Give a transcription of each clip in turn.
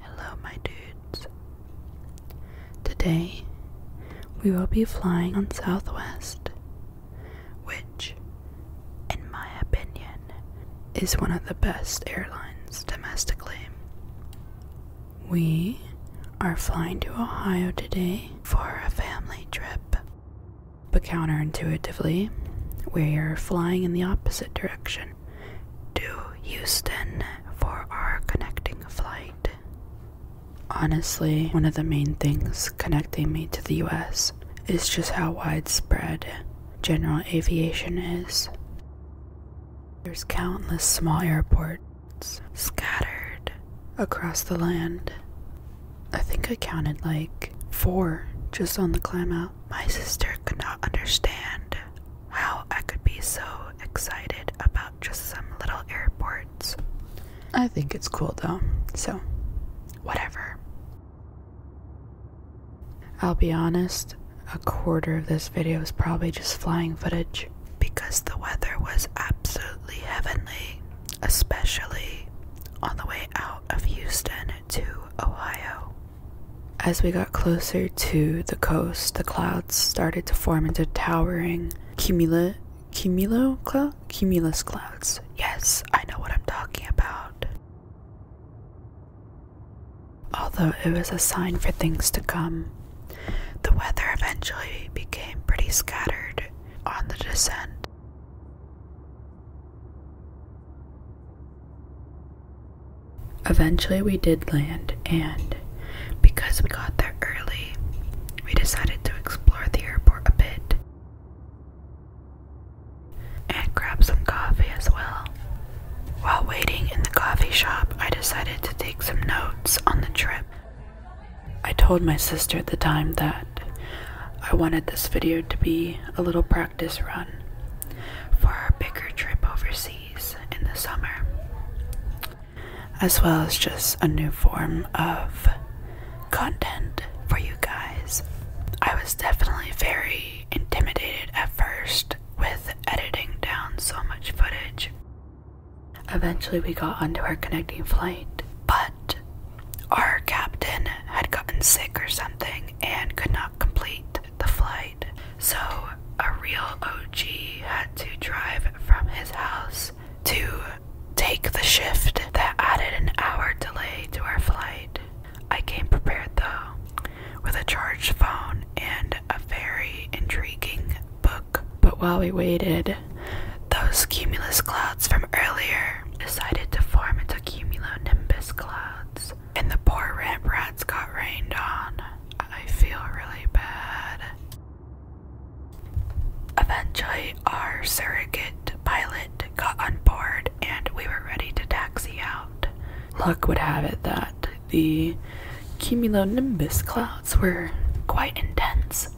Hello, my dudes. Today we will be flying on Southwest, which, in my opinion, is one of the best airlines domestically. We are flying to Ohio today for a family trip. But counterintuitively, we are flying in the opposite direction to Houston for our connecting flight. Honestly, one of the main things connecting me to the US is just how widespread general aviation is. There's countless small airports scattered across the land. I think I counted like four just on the climb out. My sister could not understand how I could be so excited about just some little airports. I think it's cool though, so whatever. I'll be honest, a quarter of this video is probably just flying footage because the weather was absolutely heavenly, especially on the way out of Houston to Ohio. As we got closer to the coast, the clouds started to form into towering cumula cumulo cumulus clouds. Yes, I know what I'm talking about. Although it was a sign for things to come, the weather eventually became pretty scattered on the descent. Eventually, we did land, and because we got there early, we decided to explore the airport a bit and grab some coffee as well. While waiting in the coffee shop, I decided to take some notes on the trip. I told my sister at the time that I wanted this video to be a little practice run for our bigger trip overseas in the summer, as well as just a new form of content for you guys. I was definitely very intimidated at first with editing down so much footage. Eventually, we got onto our connecting flight, but our captain had gotten sick or something and could not complete the flight, so a real OG had to drive from his house to take the shift that added an hour delay to our flight. I came prepared though, with a charged phone and a very intriguing book. But while we waited, those cumulus clouds from earlier decided to form into cumulonimbus clouds, and the poor rat rats got rained on. I feel really bad. Eventually, our surrogate pilot got on board and we were ready to taxi out. Luck would have it that the cumulonimbus clouds were quite intense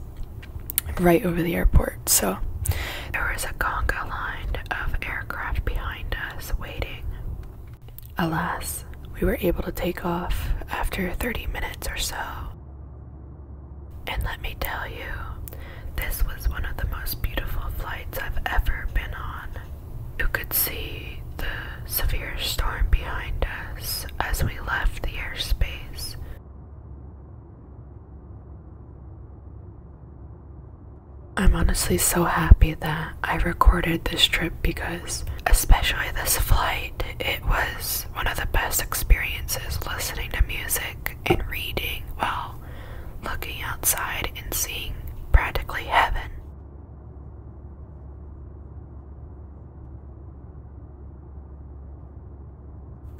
right over the airport, so there was a conga line of aircraft behind us waiting. Alas, we were able to take off after 30 minutes or so. And let me tell you, this was one of the most beautiful flights I've ever been on. You could see the severe storm behind us as we left the airspace. I'm honestly so happy that I recorded this trip because, especially this flight, it was one of the best experiences listening to music and reading while looking outside and seeing practically heaven.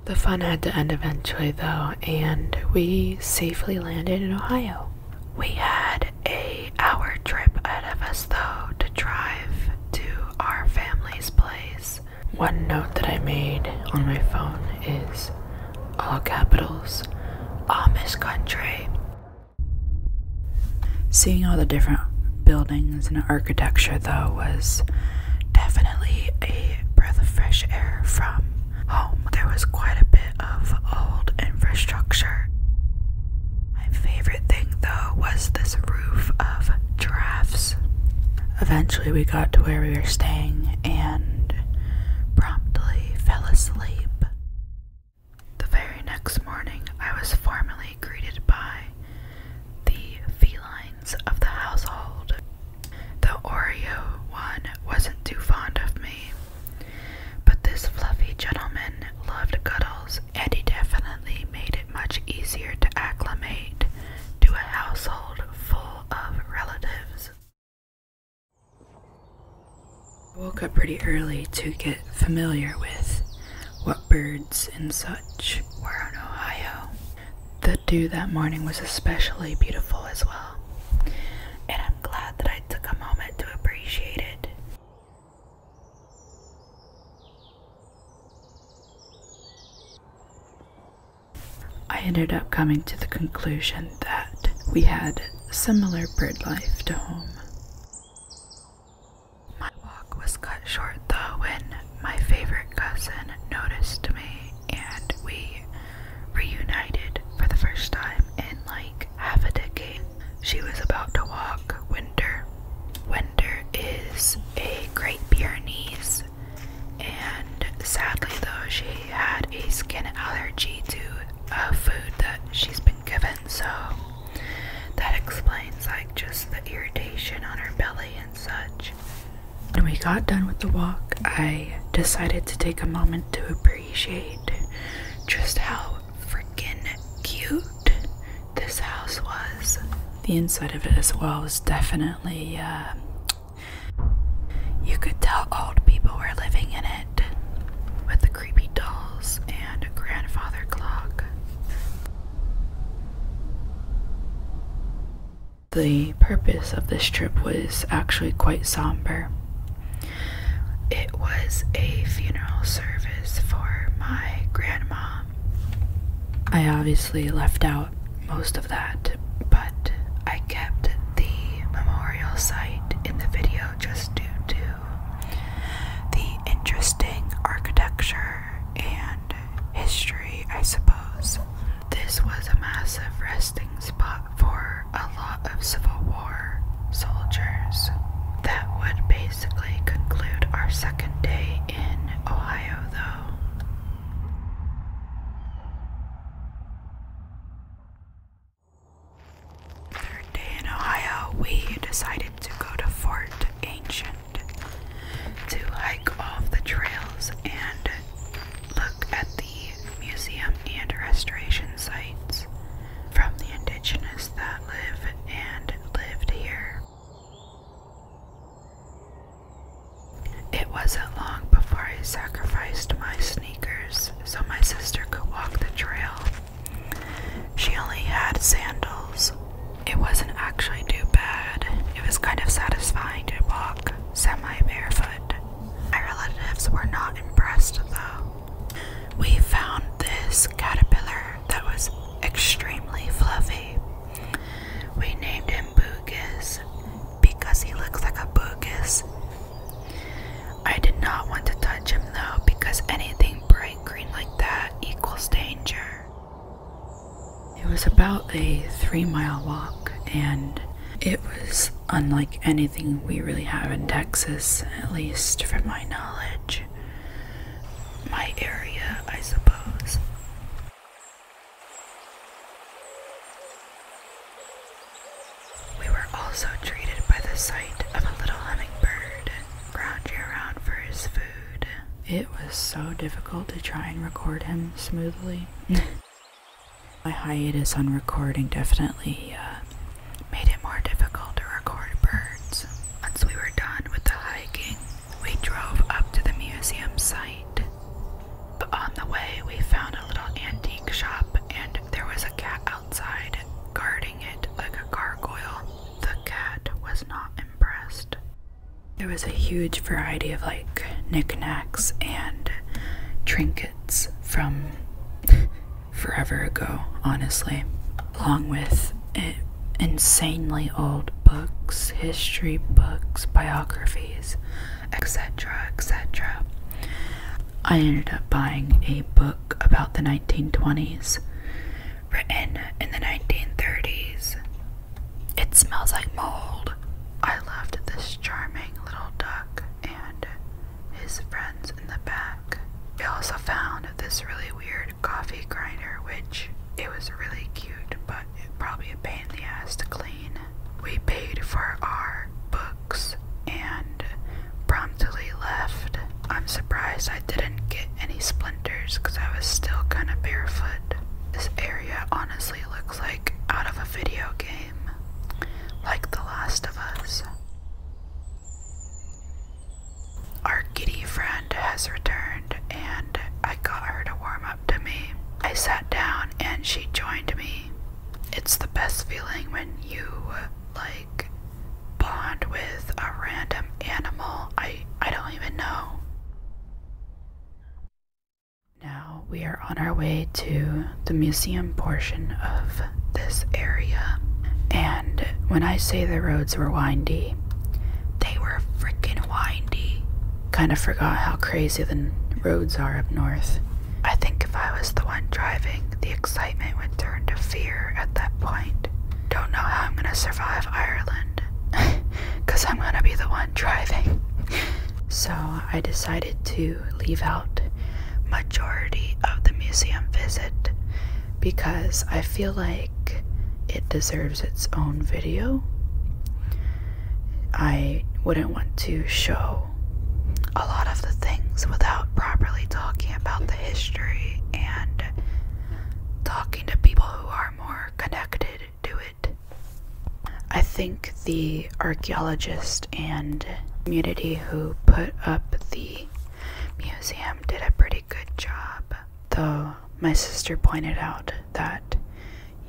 The fun had to end eventually, though, and we safely landed in Ohio. We had a hour trip ahead of us though to drive to our family's place. One note that I made on my phone is all capitals, Amish country. Seeing all the different buildings and architecture though was definitely a breath of fresh air from home. There was quite a bit of old infrastructure. My favorite thing though was this roof of giraffes. Eventually, we got to where we were staying and promptly fell asleep. The very next morning, I was formally greeted by the felines of the household. The Oreo one wasn't too fond of me, but this fluffy gentleman loved cuddles, and he definitely made it much easier to acclimate to a household full of relatives. I Woke up pretty early to get familiar with what birds and such were in Ohio. The dew that morning was especially beautiful as well, and I'm glad that I took a moment to appreciate it. I ended up coming to the conclusion that we had similar bird life to home. My walk was cut short though when my favorite cousin noticed me and we reunited for the first time in like half a decade. She was about to walk Winder. Winder is a Great Pyrenees, and sadly, though, she had a skin allergy to a food that she's been given, so that explains like just the irritation on her belly and such. When we got done with the walk, I decided to take a moment to appreciate just how freaking cute this house was. The inside of it as well was definitely, um, you could tell old people were living in it with the creepy dolls and grandfather clock. The purpose of this trip was actually quite somber. It was a funeral service for my grandma. I obviously left out most of that, but I kept the memorial site in the video just due to the interesting architecture and history, I suppose. This was a massive resting spot for a lot of Civil War war soldiers. That would basically conclude our second day in Ohio, though. Third day in Ohio, we decided to go to Fort Ancient to hike off the trails and look at the museum and restoration sites from the indigenous that live and lived here. It wasn't long before I sacrificed my sneakers so my sister could walk the trail. She only had sandals. It wasn't actually too bad. It was kind of satisfying to walk semi barefoot. My relatives were not impressed though. We found this caterpillar that was extremely fluffy. We named him Bugis because he looks like a Bugis. I did not want to touch him though because anything bright green like that equals danger. It was about a three mile walk and it was unlike anything we really have in Texas, at least from my knowledge my area, I suppose. We were also treated by the sight of a little hummingbird crouching around for his food. It was so difficult to try and record him smoothly. My hiatus on recording definitely uh, made it more difficult to record birds. Once we were done with the hiking, we drove up to the museum site. But on the way, we found a little antique shop, and there was a cat outside, guarding it like a gargoyle. The cat was not impressed. There was a huge variety of like knickknacks and trinkets from forever ago, honestly, along with insanely old books, history books, biographies, etc. etc. I ended up buying a book about the 1920s written in the 1930s. It smells like mold. I loved this charming little duck and his friends in the back. I also found this really weird coffee grinder, which it was really cute, but it probably a pain in the ass to clean. We paid for our books and promptly left. I'm surprised I didn't get any splinters because I was still kind of barefoot. This area honestly looks like out of a video game, like The Last of Us. Our kitty friend has returned, and I got her to warm up to me. I sat down and she joined me. It's the best feeling when you, like, bond with a random animal. I, I don't even know. Now we are on our way to the museum portion of this area. And when I say the roads were windy, they were freaking windy. Kind of forgot how crazy the roads are up north. I think if I was the one driving, the excitement would turn to fear at that point. Don't know how I'm gonna survive Ireland, because I'm gonna be the one driving. so I decided to leave out majority of the museum visit because I feel like it deserves its own video. I wouldn't want to show a lot of the things without properly talking about the history and talking to people who are more connected to it. I think the archaeologist and community who put up the museum did a pretty good job, though my sister pointed out that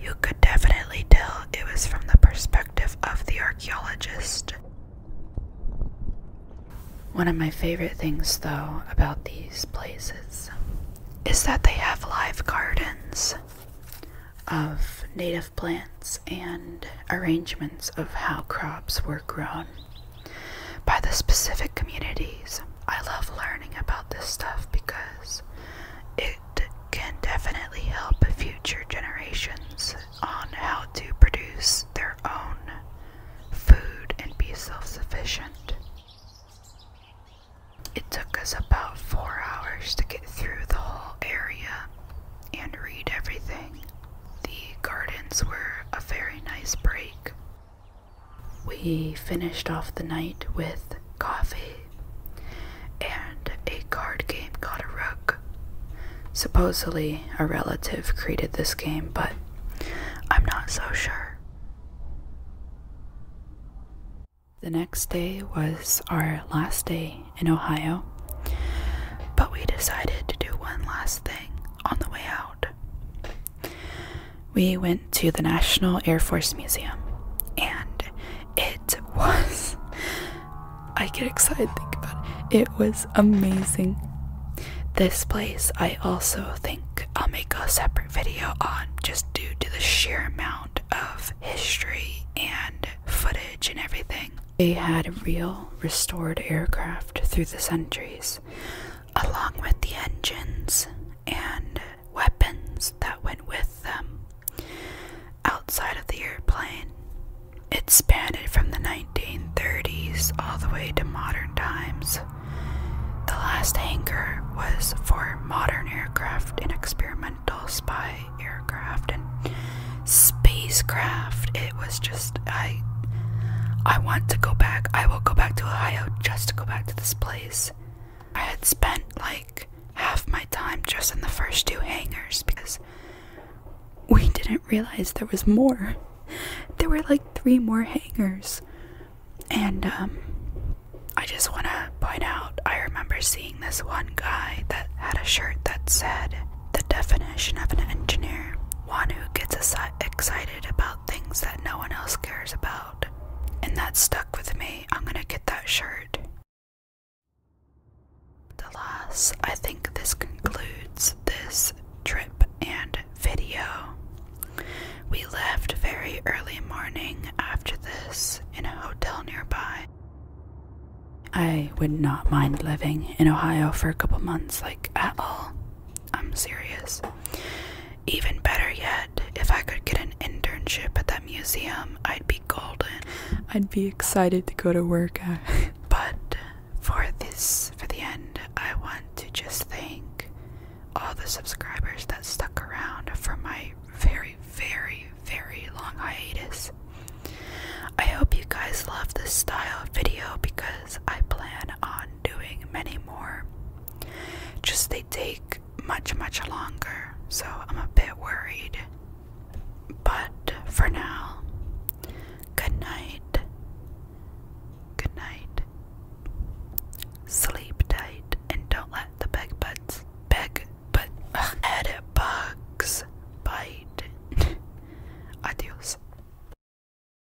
you could definitely tell it was from the perspective of the archaeologist. One of my favorite things, though, about these places is that they have live gardens of native plants and arrangements of how crops were grown by the specific communities. I love learning about this stuff because it can definitely help future generations on how to produce their own food and be self sufficient. It took us about four hours to get through the whole area and read everything. The gardens were a very nice break. We finished off the night with coffee, and a card game called rook. Supposedly, a relative created this game, but I'm not so sure. The next day was our last day in Ohio, but we decided to do one last thing on the way out. We went to the National Air Force Museum, and it was. I get excited think about it. It was amazing. This place, I also think I'll make a separate video on just due to the sheer amount of history and footage and everything. They had real restored aircraft through the centuries along with the engines and weapons that went with them outside of the airplane. It spanned from the 1930s all the way to modern times. The last hangar was for modern aircraft and experimental spy aircraft and spacecraft it was just I I want to go back. I will go back to Ohio just to go back to this place. I had spent like half my time just in the first two hangars because we didn't realize there was more. There were like three more hangars. And um, I just want to point out I remember seeing this one guy that had a shirt that said the definition of an engineer, one who gets excited about things that no one else cares about. And that stuck with me. I'm gonna get that shirt. Alas, I think this concludes this trip and video. We left very early morning after this in a hotel nearby. I would not mind living in Ohio for a couple months, like at all. I'm serious. Even better yet, if I could get an internship at that museum, I'd be golden. I'd be excited to go to work. but for this, for the end, I want to just thank all the subscribers that stuck around for my very, very, very long hiatus. I hope you guys love this style of video because I plan on doing many more. Just they take much, much longer, so I'm a bit worried. But for now, good night. Good night. Sleep tight and don't let the big butts, big but ugh, head bugs bite. Adios.